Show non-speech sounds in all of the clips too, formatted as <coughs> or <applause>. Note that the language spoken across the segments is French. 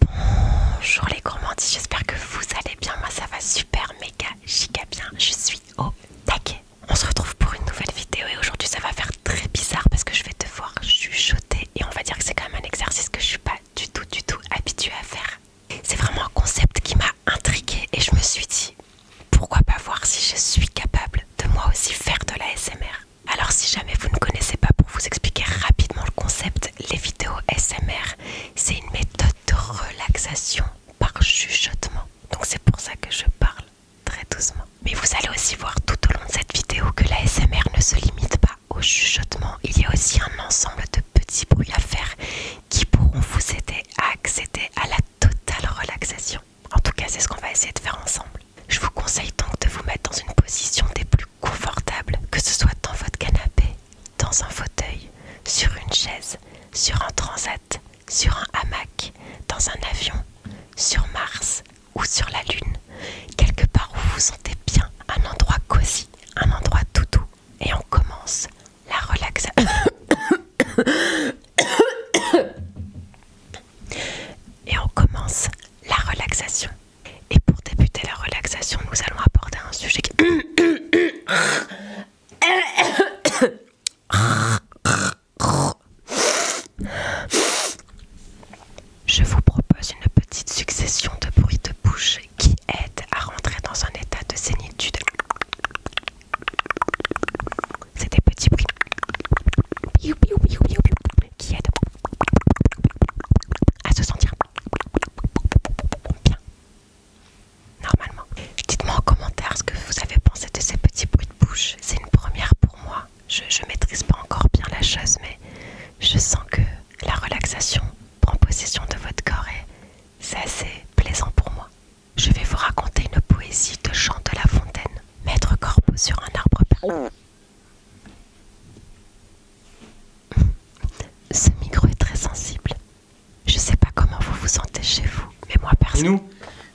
Bonjour les gourmandis, j'espère que vous allez bien. Moi ça va super, méga, giga bien. Je suis au taquet. On se retrouve pour une nouvelle vidéo et aujourd'hui ça va faire très bizarre parce que je vais te devoir chuchoter et on va dire que c'est quand même un exercice que je suis pas du tout, du tout habituée à faire. C'est vraiment un concept qui m'a intriguée et je me suis dit pourquoi pas voir si je suis capable de moi aussi faire de la SMR. Alors si jamais vous ne connaissez pas, pour vous expliquer rapidement le concept, les vidéos SMR, c'est une méthode de relaxation par chuchotement. Donc c'est pour ça que je parle très doucement. Mais vous allez aussi voir tout au long de cette vidéo que la SMR ne se limite pas au chuchotement. Il y a aussi un ensemble de petits bruits à faire qui pourront vous aider à accéder à la totale relaxation. En tout cas, c'est ce qu'on va essayer de faire ensemble. Je vous conseille donc de vous mettre dans une position des plus confortable, que ce soit dans votre canapé, dans un fauteuil, sur une chaise, sur un transat, sur un hamac, dans un avion, sur Mars ou sur la Lune, quelque part où vous vous sentez bien, un endroit cosy, un endroit tout doux, et on commence la relaxation. <coughs> et on commence la relaxation. Et pour débuter la relaxation, nous allons aborder un sujet qui... Je vous propose une petite succession de bruits de bouche qui aident à rentrer dans un état de sénitude. C'est des petits bruits qui aide à se sentir bien. Normalement. Dites-moi en commentaire ce que vous avez pensé de ces petits bruits de bouche. C'est une première pour moi. Je maîtrise pas encore bien la chose, mais je sens que la relaxation prend possession de votre corps et c'est assez plaisant pour moi. Je vais vous raconter une poésie de Jean de La Fontaine. Maître Corbeau sur un arbre Ce micro est très sensible. Je sais pas comment vous vous sentez chez vous, mais moi personne. Et nous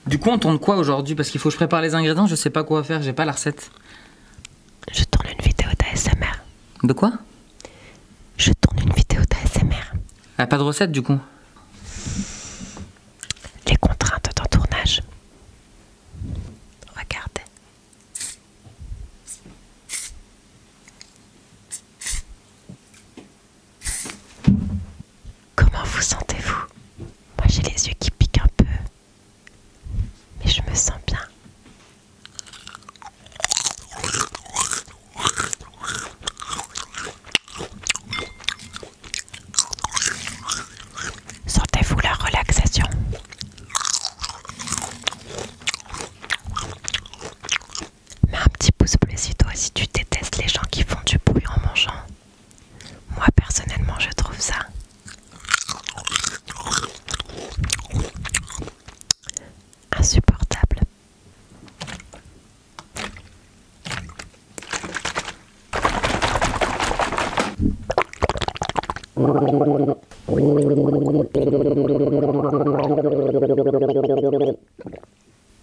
Du coup, on tourne quoi aujourd'hui Parce qu'il faut que je prépare les ingrédients, je sais pas quoi faire, j'ai pas la recette. Je tourne une vidéo d'ASMR. De quoi Je tourne une vidéo d'ASMR. A ah, pas de recette du coup les contraintes d'entournage. Regardez. Comment vous sentez-vous Moi j'ai les yeux qui piquent un peu, mais je me sens bien sortez vous la relaxation Mets un petit pouce bleu si toi si tu détestes les gens qui font du bruit en mangeant. Moi personnellement je trouve ça. Insupportable.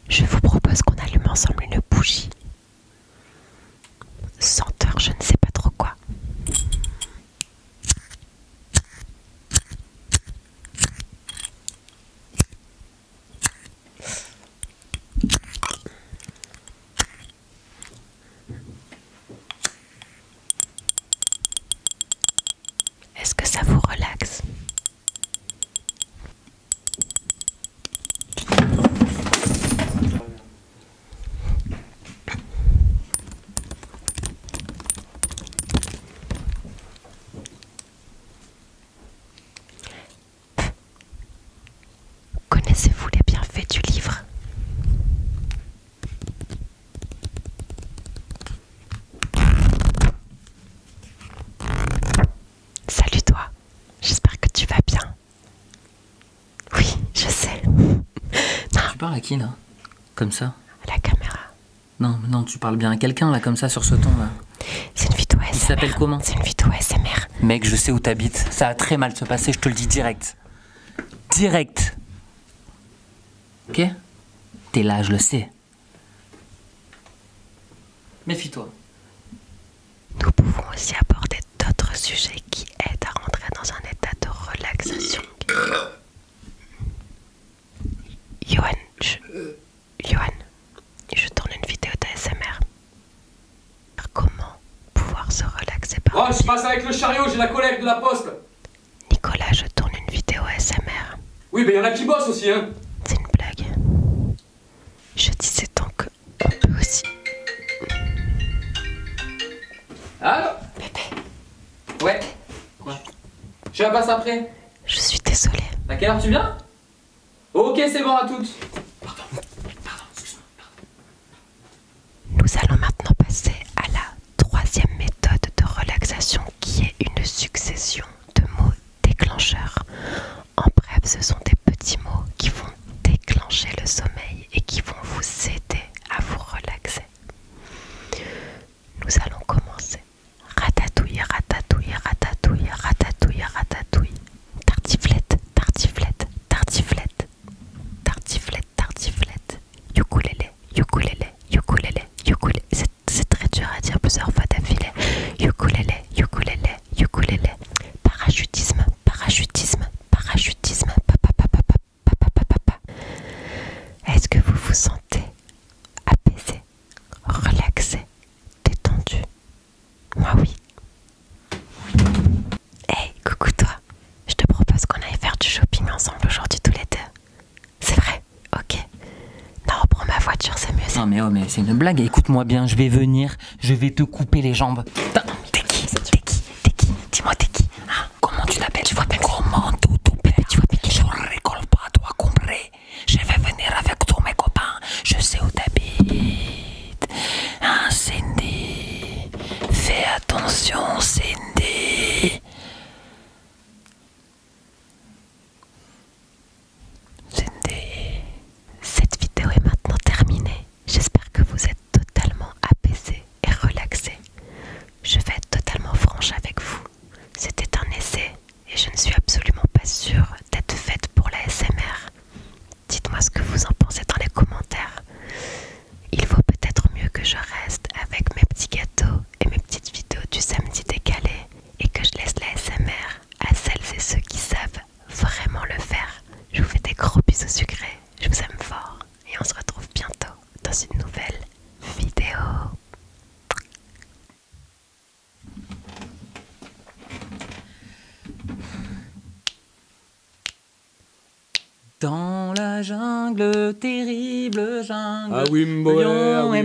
Je vous propose qu'on allume ensemble une bougie. Senteur, je ne sais pas trop quoi. Est-ce que ça vous relaxe Connaissez-vous les bienfaits du livre Salut toi, j'espère que tu vas bien. Oui, je sais. Tu parles à qui non Comme ça À la caméra. Non, non, tu parles bien à quelqu'un, là, comme ça, sur ce ton, là. C'est une vidéo Il s'appelle comment C'est une vidéo SMR. Mec, je sais où t'habites. Ça a très mal se passer, je te le dis direct. Direct. Ok T'es là, je le sais. Méfie-toi. Nous pouvons aussi aborder d'autres sujets qui aident à rentrer dans un état de relaxation. Johan, je... Johan, je tourne une vidéo d'ASMR. Comment pouvoir se relaxer par... Oh, je passe avec le chariot, j'ai la collègue de la poste Nicolas, je tourne une vidéo ASMR. Oui, mais y'en a qui bossent aussi, hein C'est une blague. Je disais tant que aussi... Allô Pépé Ouais je la passe après. Je suis désolée. À quelle heure tu viens Ok, c'est bon à toutes. Pardon, pardon, excuse-moi. Nous allons maintenant passer à la troisième méthode de relaxation qui est une succession de mots déclencheurs. En bref, ce sont des petits mots qui vont déclencher le sommeil et qui vont vous aider à vous relaxer nous allons commencer. Ratatouille, ratatouille, ratatouille, ratatouille, ratatouille. Tartiflette, tartiflette, tartiflette. Tartiflette, tartiflette. Yukulele, yukulele, ukulélé, ukulélé. C'est très dur à dire plusieurs fois d'affilée. Yukulele, yukulele, yukulele. Parachutisme, parachutisme, parachutisme. Papa, Est-ce que vous vous sentez apaisé, relaxé, détendu Moi oui. Hey, coucou toi. Je te propose qu'on aille faire du shopping ensemble aujourd'hui tous les deux. C'est vrai Ok. Non, prends ma voiture, c'est mieux. Non mais oh mais c'est une blague. Écoute-moi bien, je vais venir, je vais te couper les jambes. T'es qui T'es qui T'es qui Dis-moi t'es qui ah. Comment tu l'appelles Tu vois bien comment tout, tout plaît Tu vois bien Je ne rigole pas, toi, compris Je vais venir avec tous mes copains. Je sais où t'habites. Hein, Cindy Fais attention, Cindy. Cindy. Cette vidéo est maintenant terminée. J'espère que vous êtes totalement apaisé et relaxé. Je vais être totalement franche avec vous. C'était un essai et je ne suis absolument pas sûre d'être faite pour la SMR. Dites-moi ce que vous en pensez dans les commentaires. Il vaut peut-être mieux que je reste avec mes petits gâteaux et mes petites vidéos du samedi décalé et que je laisse la SMR à celles et ceux qui savent vraiment le faire. Je vous fais des gros bisous sucrés. Je vous aime fort et on se retrouve bientôt dans une nouvelle vidéo. Dans la jungle, terrible jungle, ah oui, lion Ah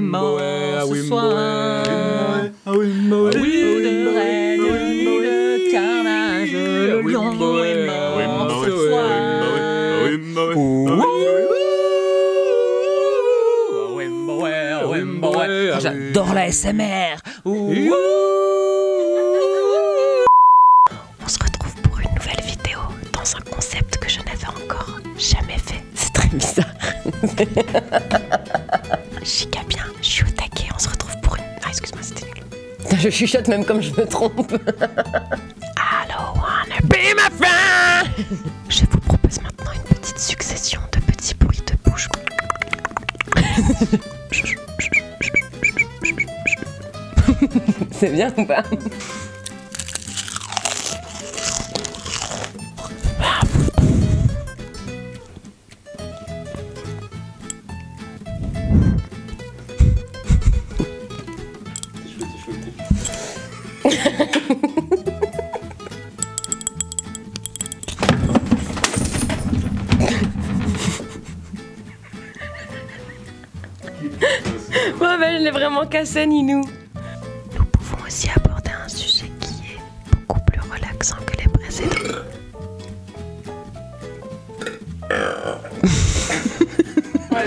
J'adore la SMR. On se retrouve pour une nouvelle vidéo dans un concept que je n'avais encore jamais fait. C'est très bizarre. Chica bien, je suis au On se retrouve pour une. Ah, excuse-moi, c'était nul. <laughs> je chuchote même comme je me trompe. Hello, wanna be my friend. <laughs> Je vous propose maintenant une petite succession de petits bruits de bouche. <laughs> C'est bien ou pas ah, Ouais, ben, je l'ai vraiment cassé, Ninou. Nous pouvons aussi aborder un sujet qui est beaucoup plus relaxant que les précédents.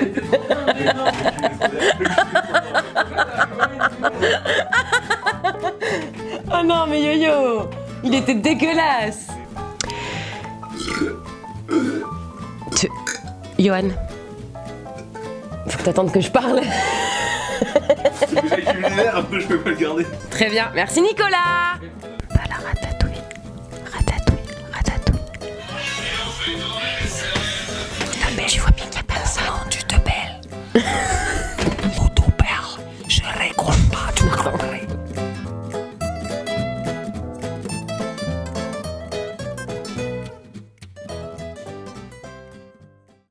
<laughs> oh non mais yo-yo Il était dégueulasse Yoann Johan Faut t'attendre que je parle je peux pas garder Très bien, merci Nicolas Pas la ratatouille. Ratatouille, ratatouille. Non mais je vois bien qu'il n'y a personne, tu te belles. Vous <laughs> tout perles. Je récompte pas, ah, tu me comprendrais.